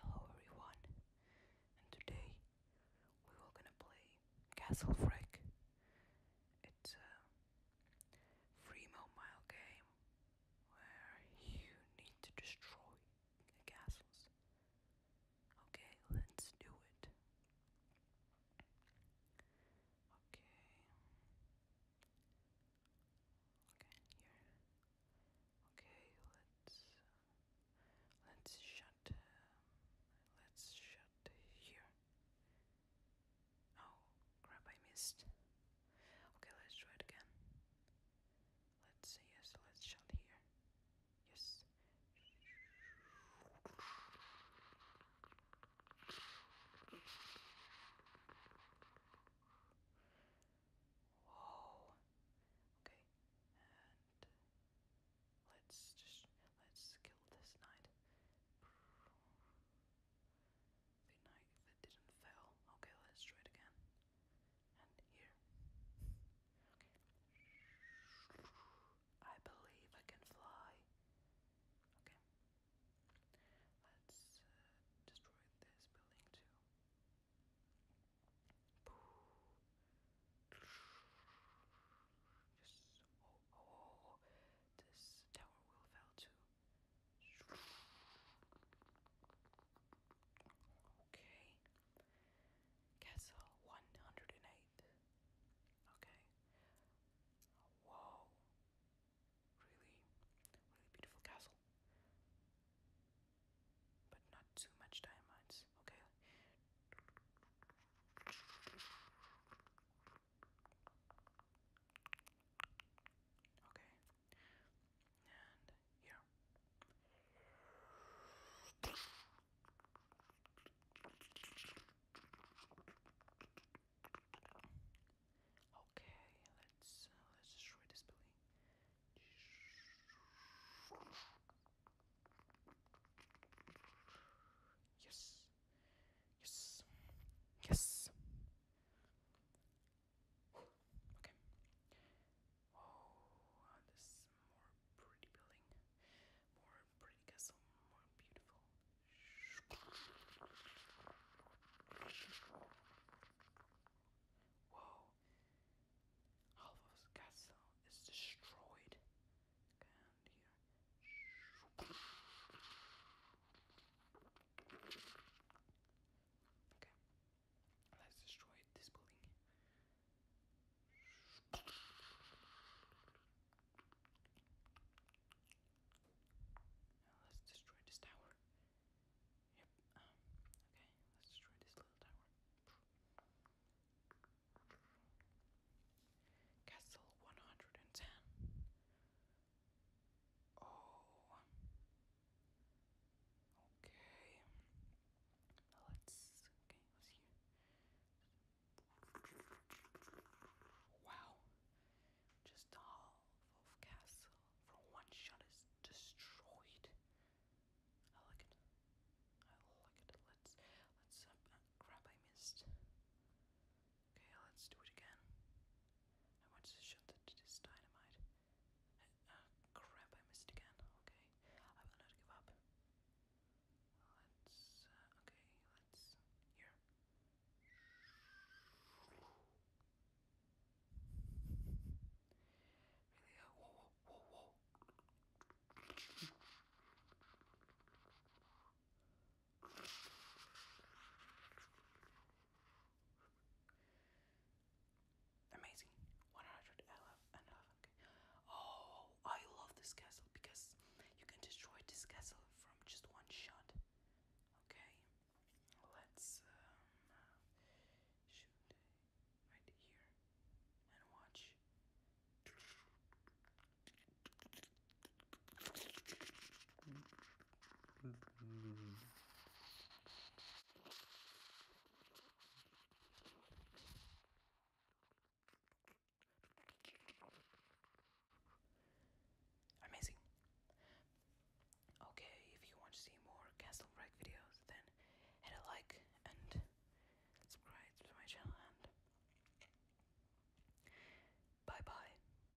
Hello everyone, and today we are gonna play Castle Freak. It's a free mobile game where you need to destroy castles. Okay, let's do it. Okay, Okay, here. Okay, let's uh, let's shut. Um, let's shut here. Oh crap! I missed. Okay, let's try it again. Let's Yes, let's shut here. Yes. Whoa. Okay, and let's just let's kill this knight. The knight that didn't fail. Okay, let's try it again. And here. Okay. I believe I can fly. Okay. Let's uh, destroy this building too. Oh, oh, oh, oh, this tower will fall too. Okay. Castle 108 light. Okay? Wow. Really, really beautiful castle. But not too much diamonds. Okay? Okay. And here. Okay, let's uh, let's destroy this building. Yes. Yes. Yes. Okay. Oh, is more pretty building, more pretty castle, more beautiful. Whoa! Alva's castle is destroyed. Okay, let's destroy this building. Now let's destroy this tower. Yep. Um, okay, let's destroy this little tower. Castle 110. Oh. Okay. Let's. Okay, Wow. Just all of Castle for one shot is destroyed. I like it. I like it. Let's let's uh, I missed. Okay, let's do it again. I want to shut the, this dynamite. Oh, crap, I missed again. Okay, I will not give up. Let's, uh, okay, let's, here. Really, uh, whoa, whoa, whoa, whoa. Amazing. 111. LF. Oh, I love this castle because you can destroy this castle from just one shot. Okay. Let's um, shoot right here and watch. Amazing. Okay, if you want to see more Castle Break videos, then hit a like and subscribe to my channel and bye bye.